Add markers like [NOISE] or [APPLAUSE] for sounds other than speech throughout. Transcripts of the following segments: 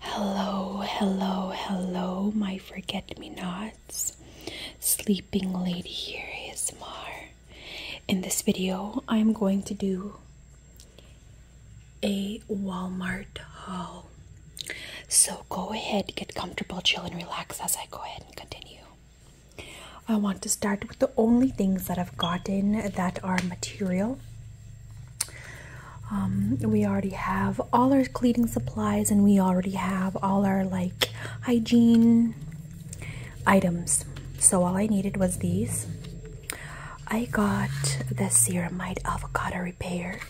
Hello, hello, hello, my forget me nots. Sleeping Lady here is Mar. In this video, I'm going to do a Walmart haul. So go ahead, get comfortable, chill, and relax as I go ahead and continue. I want to start with the only things that I've gotten that are material. Um, we already have all our cleaning supplies and we already have all our like hygiene items. So all I needed was these. I got the ceramide avocado repair.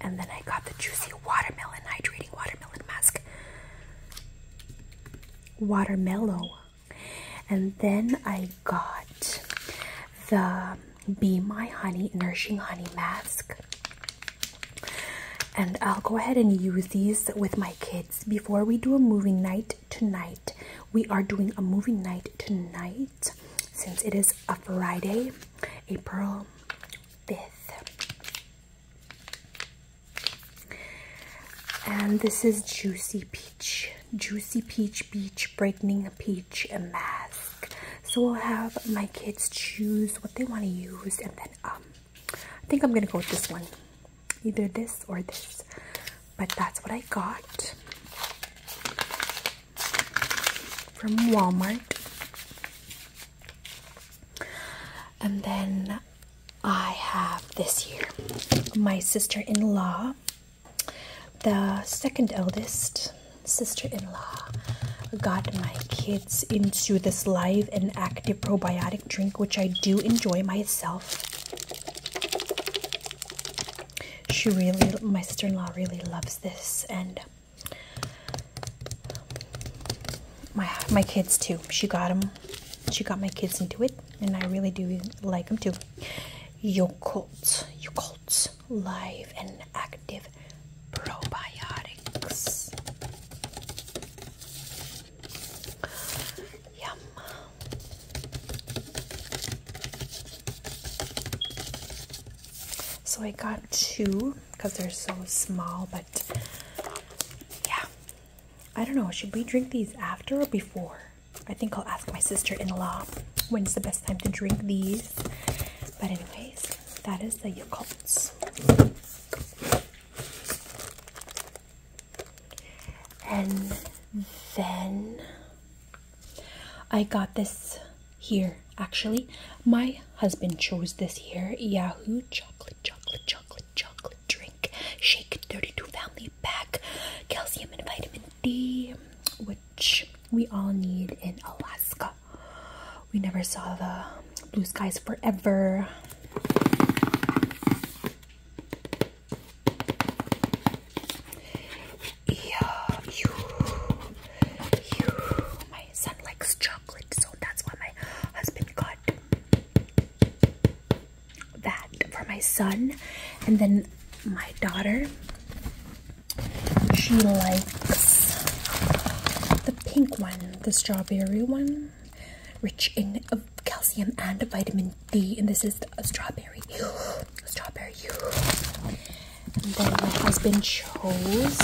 And then I got the juicy watermelon hydrating watermelon mask. Watermelon. And then I got the Be My Honey Nourishing Honey Mask. And I'll go ahead and use these with my kids before we do a movie night tonight. We are doing a movie night tonight since it is a Friday, April 5th. And this is Juicy Peach. Juicy Peach Beach Brightening Peach Mask. So i will have my kids choose what they want to use and then um, I think I'm gonna go with this one either this or this but that's what I got from Walmart and then I have this here. my sister-in-law the second eldest sister-in-law got my kids into this live and active probiotic drink which I do enjoy myself she really, my sister-in-law really loves this, and um, my my kids too. She got them. She got my kids into it, and I really do like them too. Yokult, Yokult, live and active probiotics. Yum. So I got two because they're so small, but yeah. I don't know. Should we drink these after or before? I think I'll ask my sister in law when's the best time to drink these. But, anyways, that is the Yakults. And then I got this here actually. My husband chose this here Yahoo chocolate, chocolate, chocolate, chocolate drink, shake 32 family pack, calcium and vitamin D, which we all need in Alaska. We never saw the blue skies forever. Yeah, you, you. My son likes chocolate, so that's why my husband got that for my son. And then my daughter, she likes the pink one, the strawberry one rich in calcium and vitamin D. And this is strawberry. [GASPS] Strawberry. [GASPS] And then my husband chose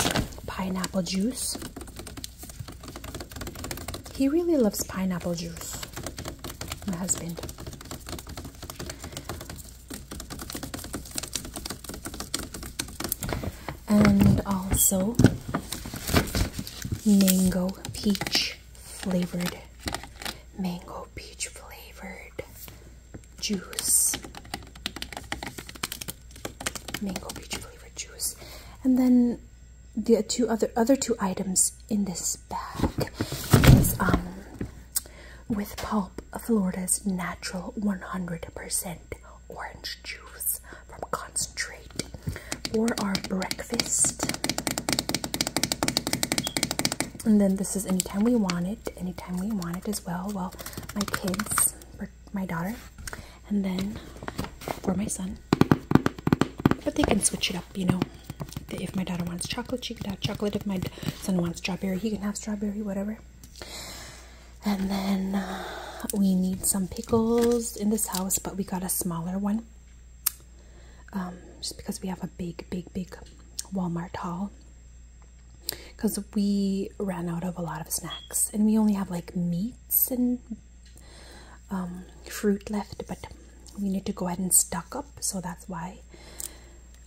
pineapple juice. He really loves pineapple juice. My husband. And also mango peach flavored mango peach flavored juice mango peach flavored juice and then the two other other two items in this bag is um with pulp Florida's natural 100% orange juice from concentrate great for our breakfast. And then this is anytime we want it, anytime we want it as well. Well, my kids, my daughter, and then for my son. But they can switch it up, you know. If my daughter wants chocolate, she can have chocolate. If my son wants strawberry, he can have strawberry, whatever. And then uh, we need some pickles in this house, but we got a smaller one. Um, just because we have a big, big, big Walmart haul. Because we ran out of a lot of snacks and we only have like meats and um, fruit left, but we need to go ahead and stock up, so that's why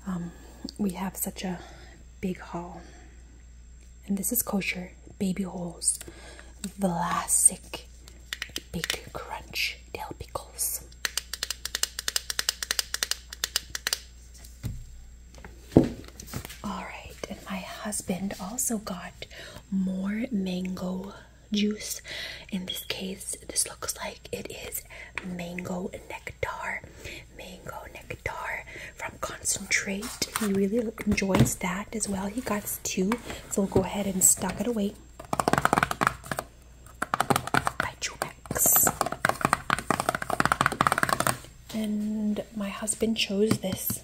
um, we have such a big haul. And this is kosher baby holes, classic big crunch dill pickles. All right, and my husband also got more mango juice. In this case, this looks like it is mango nectar. Mango nectar from concentrate. He really enjoys that as well. He got two, so we'll go ahead and stock it away by Jumex. And my husband chose this.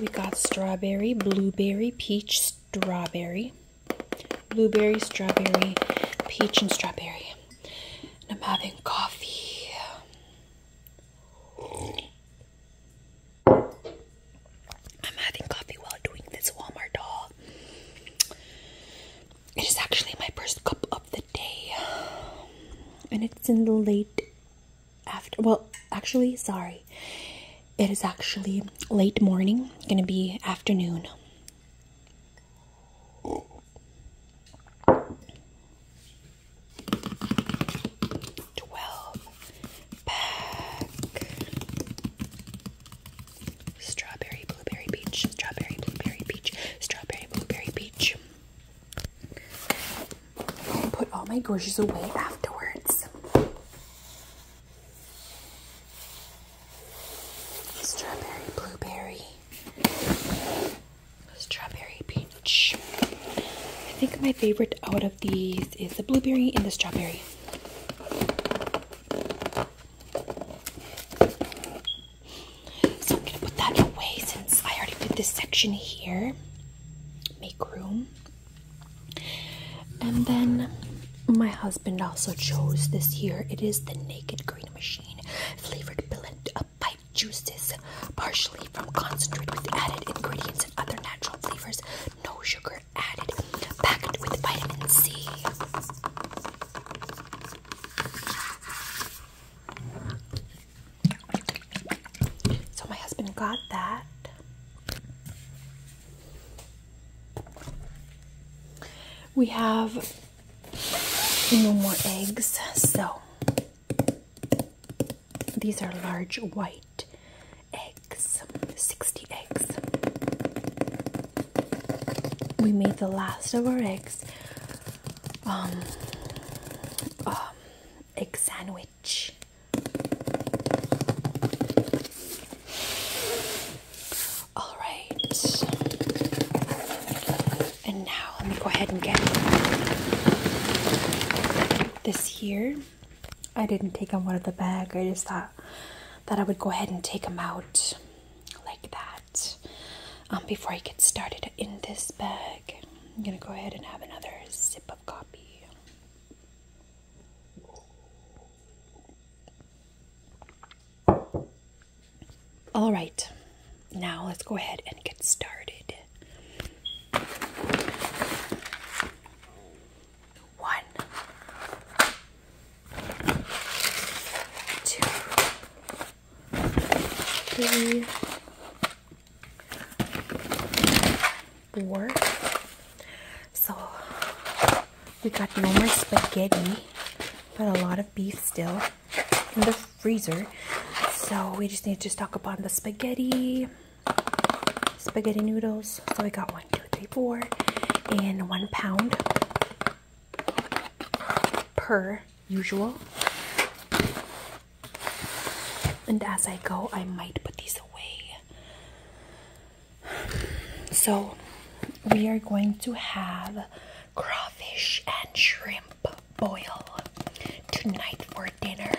We got strawberry, blueberry, peach, strawberry, blueberry, strawberry, peach, and strawberry. And I'm having coffee. I'm having coffee while doing this Walmart haul. It is actually my first cup of the day. And it's in the late after well, actually, sorry. It is actually late morning, gonna be afternoon. 12 pack strawberry, blueberry, peach, strawberry, blueberry, peach, strawberry, blueberry, peach. I put all my groceries away afterwards. Strawberry, blueberry, strawberry, peach. I think my favorite out of these is the blueberry and the strawberry. So I'm gonna put that away since I already did this section here. Make room. And then my husband also chose this here. It is the Naked Green Machine flavored blend of pipe juices, partially from concentrate with added ingredients and other natural flavors. No sugar, added, packed with vitamin C. So my husband got that. We have no more eggs, so these are large white eggs, 60 eggs. We made the last of our eggs. Um, um, egg sandwich. All right. And now let me go ahead and get this here. I didn't take them out of the bag. I just thought that I would go ahead and take them out like that um, before I get started in this bag. I'm going to go ahead and have another sip of coffee. All right, now let's go ahead and get started. One, two, three, four. So we got no more spaghetti, but a lot of beef still in the freezer. So we just need to stock up on the spaghetti spaghetti noodles. So we got one, two, three, four, and one pound per usual. And as I go, I might put these away. So we are going to have crawfish and shrimp boil tonight for dinner.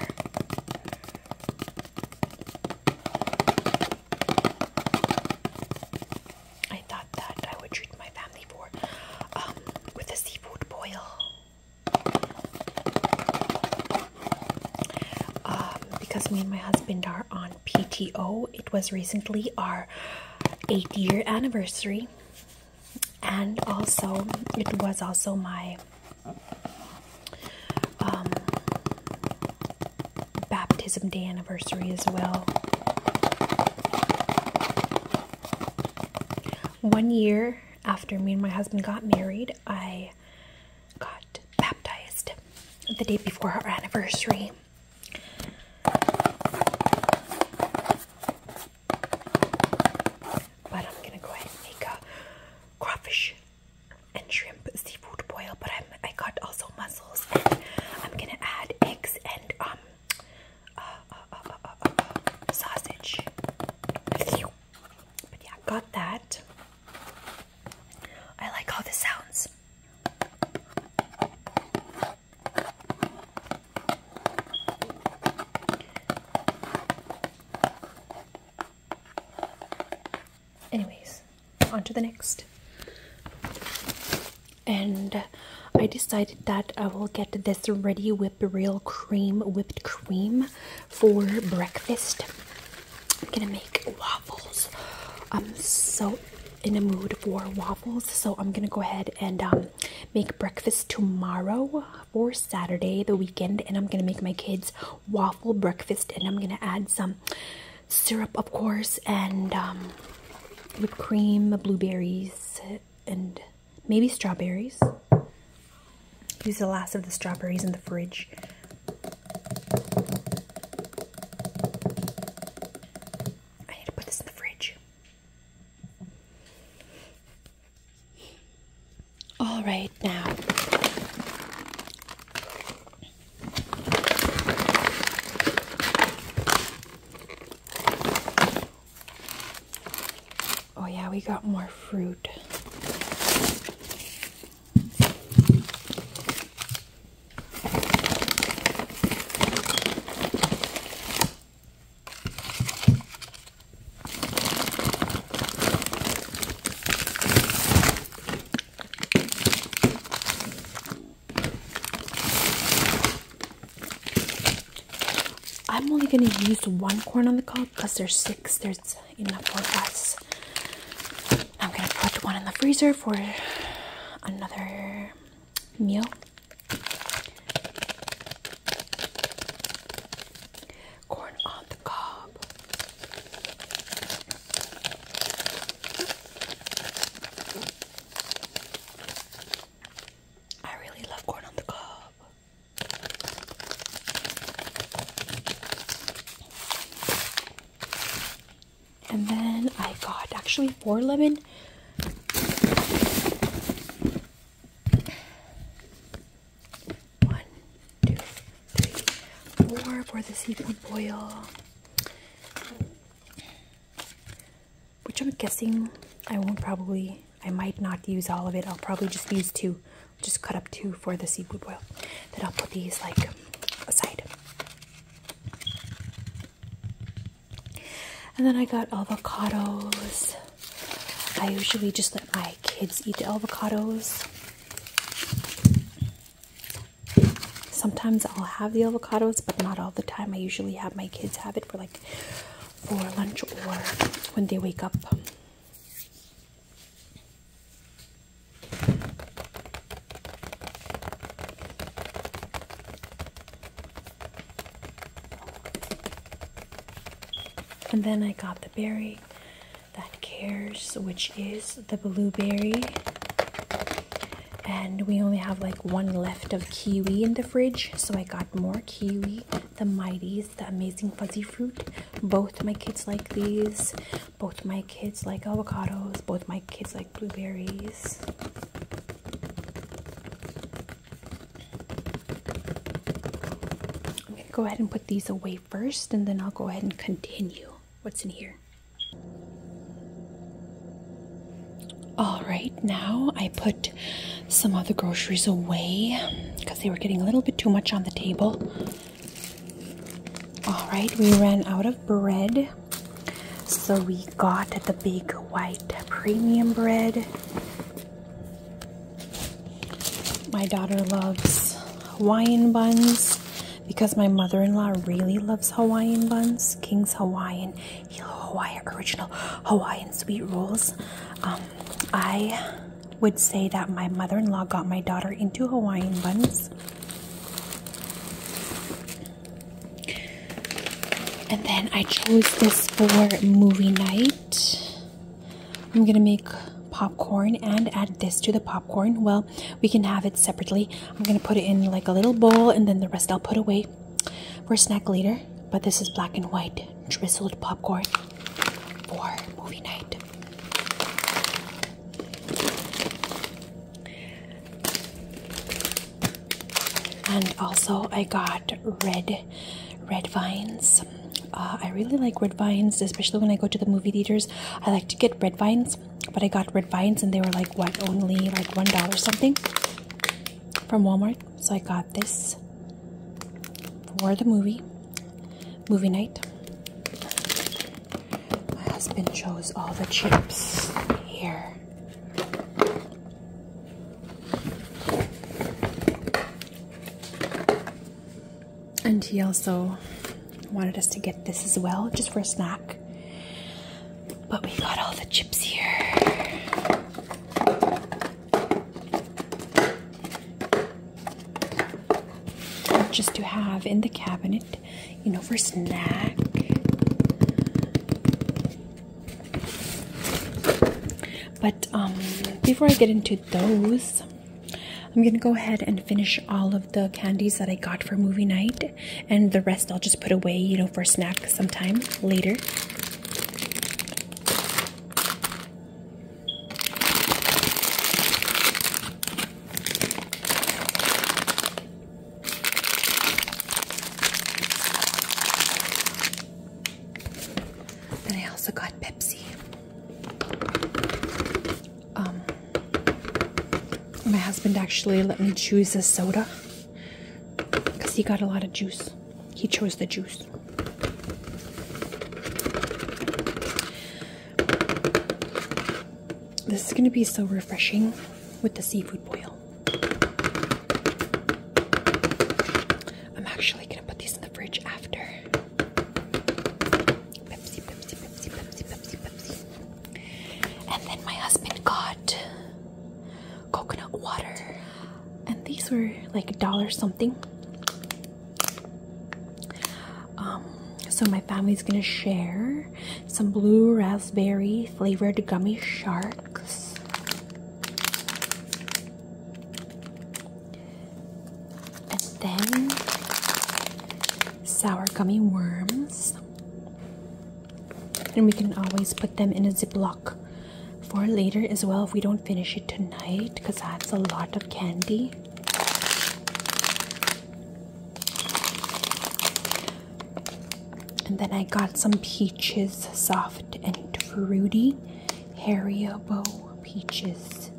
I thought that I would treat my family for um, with a seafood boil um, because me and my husband are on PTO. It was recently our eight year anniversary, and also it was also my um, baptism day anniversary as well. One year after me and my husband got married, I got baptized the day before our anniversary. But I'm gonna go ahead and make a crawfish and shrimp seafood boil, but I'm, I got also mussels, and I'm gonna add eggs and um uh, uh, uh, uh, uh sausage. But yeah, got that. I like how this sounds anyways on to the next and I decided that I will get this ready whip real cream whipped cream for breakfast I'm gonna make waffles I'm so in a mood for waffles so I'm gonna go ahead and um, make breakfast tomorrow for Saturday the weekend and I'm gonna make my kids waffle breakfast, and I'm gonna add some syrup, of course, and um, whipped cream, blueberries, and maybe strawberries. Use the last of the strawberries in the fridge. I need to put this in the fridge. All right, now Oh yeah, we got more fruit. I'm only gonna use one corn on the cob because there's six, there's enough for us. I'm gonna put one in the freezer for another meal. Corn on the cob. I really love corn on the cob. And then I got actually four lemon. One, two, three, four for the seafood boil. Which I'm guessing I won't probably, I might not use all of it. I'll probably just use two, just cut up two for the seafood boil. Then I'll put these like aside. And then I got avocados. I usually just let my kids eat the avocados. Sometimes I'll have the avocados, but not all the time. I usually have my kids have it for like for lunch or when they wake up. And then I got the berry that cares, which is the blueberry. And we only have like one left of kiwi in the fridge, so I got more kiwi. The Mighties, the amazing fuzzy fruit. Both my kids like these. Both my kids like avocados. Both my kids like blueberries. I'm gonna go ahead and put these away first, and then I'll go ahead and continue. What's in here? All right, now I put some of the groceries away because they were getting a little bit too much on the table. All right, we ran out of bread. So we got the big white premium bread. My daughter loves Hawaiian buns because my mother in law really loves Hawaiian buns, King's Hawaiian, Hawaii original Hawaiian sweet rolls. Um, I would say that my mother in law got my daughter into Hawaiian buns. And then I chose this for movie night. I'm gonna make popcorn and add this to the popcorn well we can have it separately i'm gonna put it in like a little bowl and then the rest i'll put away for snack later but this is black and white drizzled popcorn for movie night and also i got red red vines uh, i really like red vines especially when i go to the movie theaters i like to get red vines but I got red vines and they were like what only like one dollar something from Walmart. So I got this for the movie movie night. My husband chose all the chips here and he also wanted us to get this as well, just for a snack. But we got all the chips here. Just to have in the cabinet, you know, for snack. But um, before I get into those, I'm gonna go ahead and finish all of the candies that I got for movie night, and the rest I'll just put away, you know, for a snack sometime later. Then I also got Pepsi. Um, my husband actually let me choose a soda because he got a lot of juice. He chose the juice. This is going to be so refreshing with the seafood boil. I'm actually going to put these in the fridge after. And then my husband got coconut water. And these were like a dollar something. Um, so my family's gonna share some blue raspberry flavored gummy sharks. And then sour gummy worms. And we can always put them in a Ziploc for later as well if we don't finish it tonight because that's a lot of candy. And then I got some peaches, soft and fruity. Haribo peaches.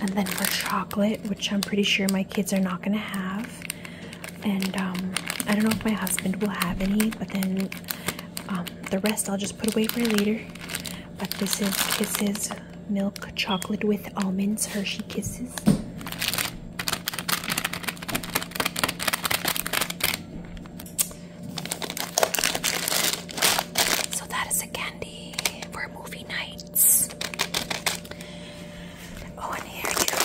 And then for chocolate, which I'm pretty sure my kids are not going to have. And um, I don't know if my husband will have any, but then um, the rest I'll just put away for later. But this is Kisses Milk Chocolate with Almonds Hershey Kisses. So that is a candy for movie nights. Oh, and here you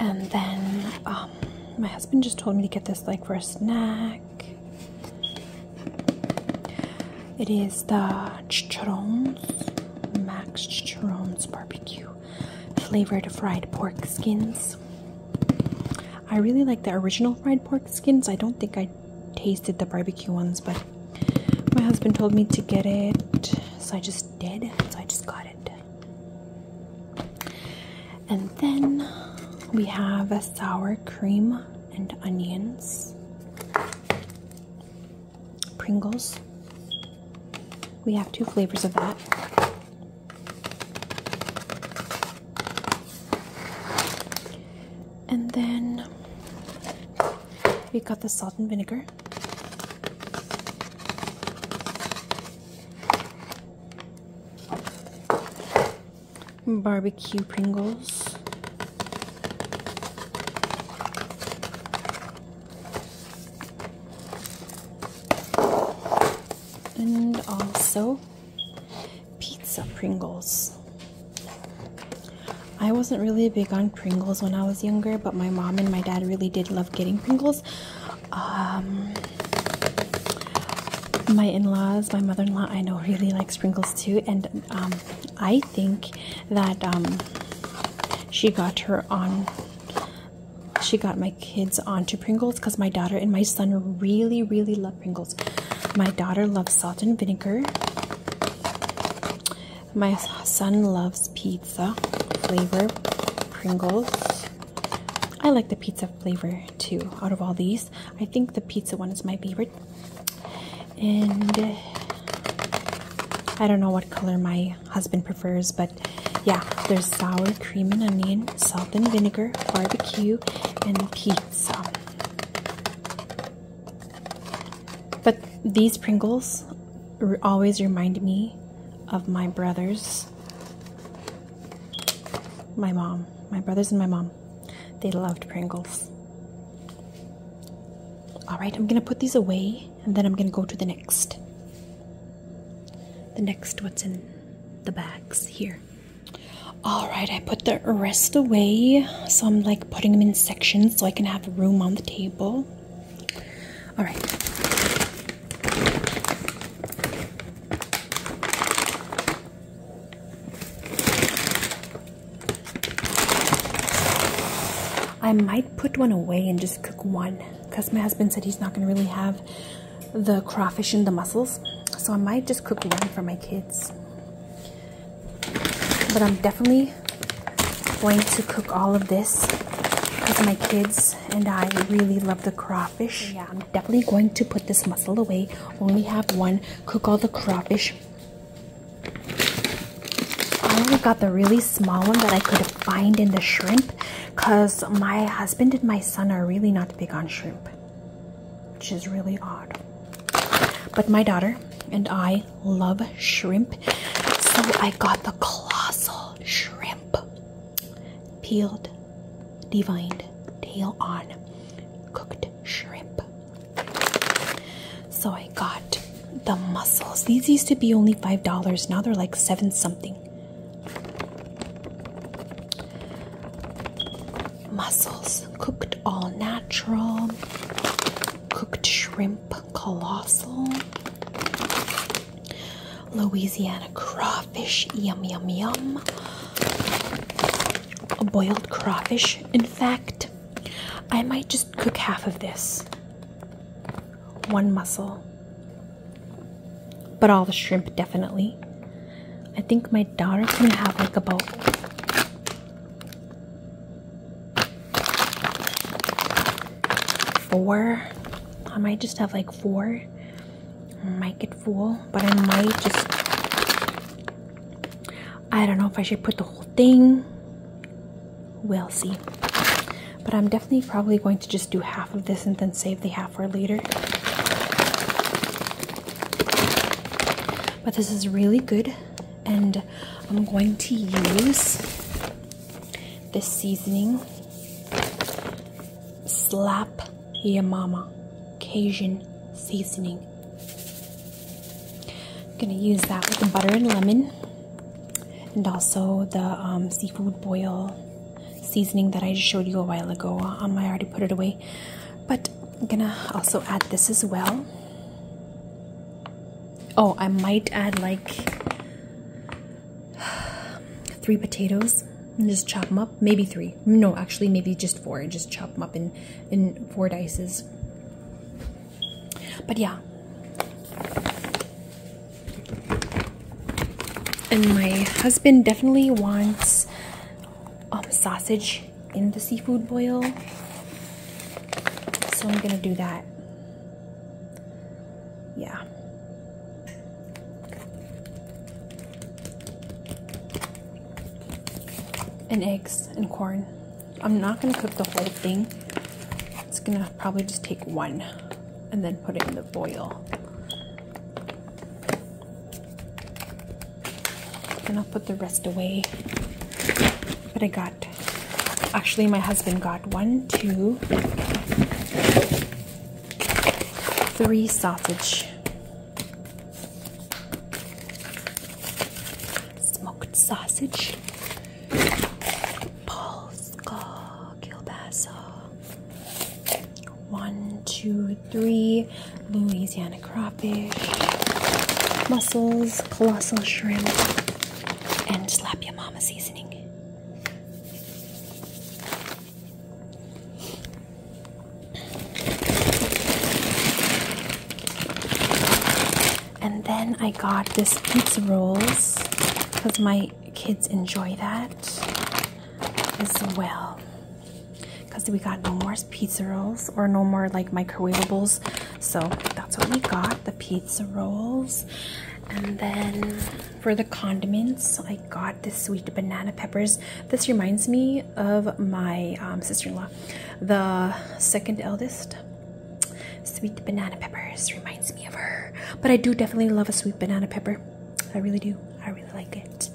and then um, my husband just told me to get this like for a snack it is the chicharrones, Max Chicharrones Barbecue flavored fried pork skins. I really like the original fried pork skins. I don't think I tasted the barbecue ones, but my husband told me to get it, so I just did. So I just got it. And then we have a sour cream and onions, Pringles. We have two flavors of that. And then we got the salt and vinegar barbecue Pringles. And also pizza Pringles. I wasn't really big on Pringles when I was younger, but my mom and my dad really did love getting Pringles. Um, my in-laws, my mother-in-law, I know really like Pringles too, and um, I think that um, she got her on. She got my kids onto Pringles because my daughter and my son really, really love Pringles. My daughter loves salt and vinegar. My son loves pizza flavor Pringles. I like the pizza flavor too out of all these. I think the pizza one is my favorite and uh, I don't know what color my husband prefers, but yeah, there's sour cream and onion, salt and vinegar, barbecue, and pizza. But these Pringles always remind me of my brothers, my mom, my brothers, and my mom. They loved Pringles. All right, I'm going to put these away and then I'm going to go to the next. The next, what's in the bags here. All right, I put the rest away. So I'm like putting them in sections so I can have room on the table. All right. I might put one away and just cook one because my husband said he's not going to really have the crawfish and the mussels. So I might just cook one for my kids. But I'm definitely going to cook all of this because my kids and I really love the crawfish. Yeah, I'm definitely going to put this mussel away. Only have one cook all the crawfish. I only got the really small one that I could find in the shrimp because my husband and my son are really not big on shrimp, which is really odd. But my daughter and I love shrimp, so I got the colossal shrimp peeled divined tail on cooked shrimp. So I got the mussels. These used to be only $5. Now they're like 7 something. Mussels cooked all natural. Cooked shrimp colossal. Louisiana crawfish yum yum yum a boiled crawfish. In fact, I might just cook half of this. One mussel. But all the shrimp, definitely. I think my daughter can have like about four. I might just have like four. I might it but I might just, I don't know if I should put the whole thing. We'll see. But I'm definitely probably going to just do half of this and then save the half for later. But this is really good, and I'm going to use this seasoning slap Yamama Cajun seasoning. I'm gonna use that with the butter and lemon and also the um, seafood boil seasoning that I just showed you a while ago. Um, I already put it away, but I'm gonna also add this as well. Oh, I might add like [SIGHS] three potatoes and just chop them up. Maybe three. No, actually, maybe just four. And just chop them up in, in four dices. But yeah. And my husband definitely wants um, sausage in the seafood boil. So I'm going to do that. Yeah and eggs and corn. I'm not going to cook the whole thing. It's going to probably just take one and then put it in the boil. And I'll put the rest away. But I got, actually my husband got one, two, three sausage smoked sausage, polska kielbasa, one, two, three, Louisiana crawfish, mussels, colossal shrimp, and slap your mama seasoning. And then I got this pizza rolls because my kids enjoy that as well. Because we got no more pizza rolls or no more like microwavables. So that's what we got, the pizza rolls. And then for the condiments, I got this sweet banana peppers. This reminds me of my um, sister-in-law the second eldest. Sweet banana peppers reminds me of her, but I do definitely love a sweet banana pepper. I really do. I really like it.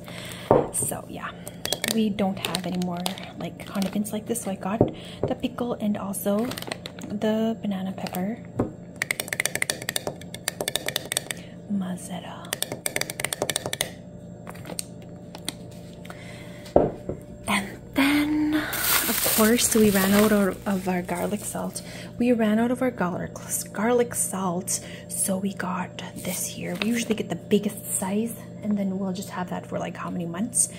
So yeah, we don't have any more like condiments like this. So I got the pickle and also the banana pepper mozzarella. And then, of course, we ran out of our garlic salt. We ran out of our garlic, garlic salt, so we got this here. We usually get the biggest size, and then we'll just have that for like how many months.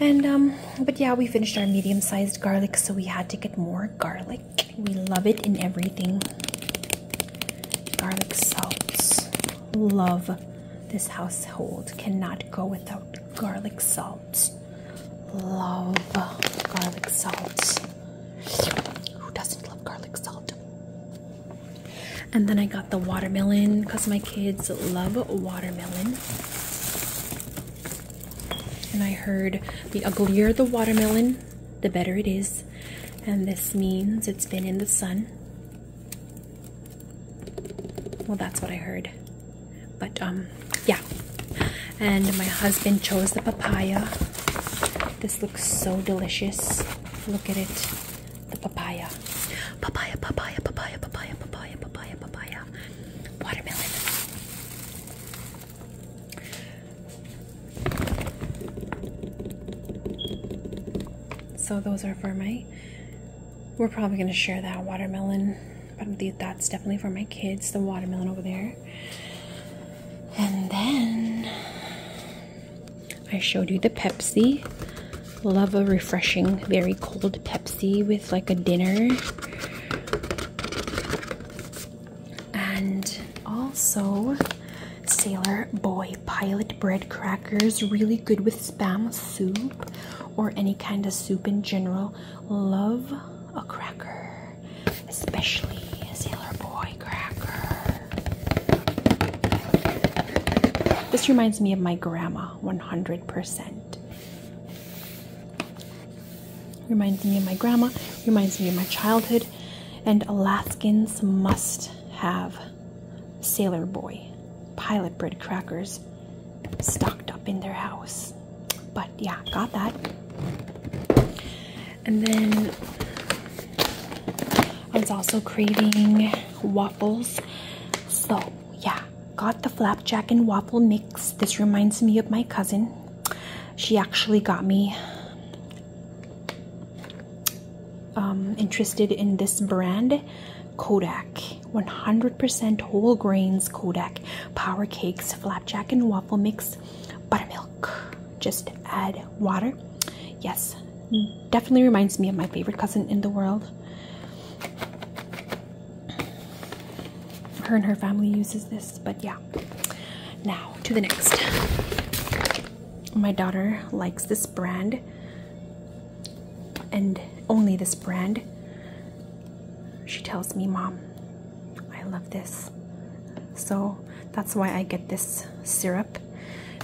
And, um, but yeah, we finished our medium sized garlic, so we had to get more garlic. We love it in everything. Garlic salt love this household cannot go without garlic salt. Love garlic salt. Who doesn't love garlic salt? And then I got the watermelon because my kids love watermelon. And I heard the uglier the watermelon, the better it is. And this means it's been in the sun well, that's what I heard. But um, yeah. And my husband chose the papaya. This looks so delicious. Look at it. The papaya. Papaya, papaya, papaya, papaya, papaya, papaya, papaya. Watermelon. So those are for my. We're probably gonna share that watermelon, but that's definitely for my kids. The watermelon over there, and then I showed you the Pepsi. Love a refreshing, very cold Pepsi with like a dinner. And also, Sailor Boy Pilot Bread Crackers, really good with spam soup or any kind of soup in general. Love a cracker, especially a Sailor Boy cracker. This reminds me of my grandma 100%. Reminds me of my grandma, reminds me of my childhood, and Alaskans must have sailor boy, pilot bread crackers stocked up in their house. But yeah, got that. And then I was also craving waffles. So yeah, got the flapjack and waffle mix. This reminds me of my cousin. She actually got me um, interested in this brand, Kodak 100% whole grains Kodak power cakes, flapjack and waffle mix, buttermilk. Just add water. Yes, definitely reminds me of my favorite cousin in the world. Her and her family uses this, but yeah. Now to the next my daughter likes this brand and only this brand. She tells me, Mom, I love this. So that's why I get this syrup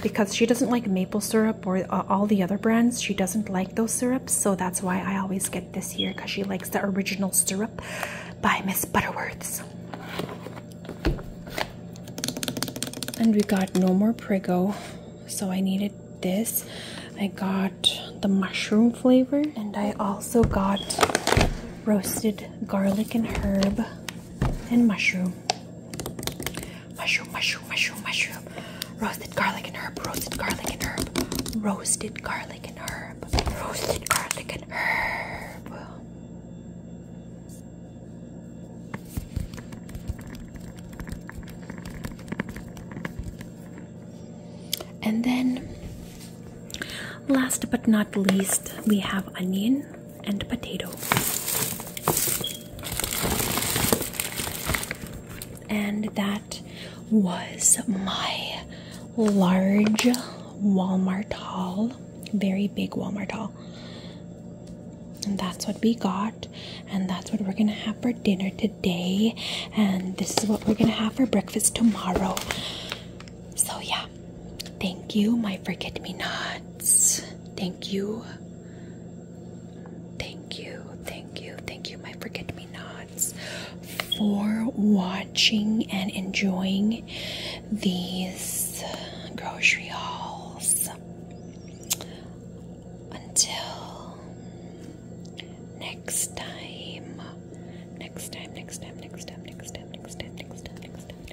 because she doesn't like maple syrup or uh, all the other brands. She doesn't like those syrups. So that's why I always get this here because she likes the original syrup by Miss Butterworth's and we got no more Prego, so I needed this. I got the mushroom flavor, and I also got roasted garlic and herb and mushroom. Mushroom, mushroom, mushroom, mushroom. Roasted garlic and herb, roasted garlic and herb, roasted garlic and herb, roasted garlic and herb. And then, last but not least, we have onion and potato. And that was my large Walmart haul, very big Walmart haul. And that's what we got. And that's what we're gonna have for dinner today. And this is what we're gonna have for breakfast tomorrow. So, yeah. Thank you, my forget me nots. Thank you. Thank you, thank you, thank you, my forget me nots, for watching and enjoying these grocery hauls until next time. Next time, next time, next time, next time, next time, next time, next time, next time.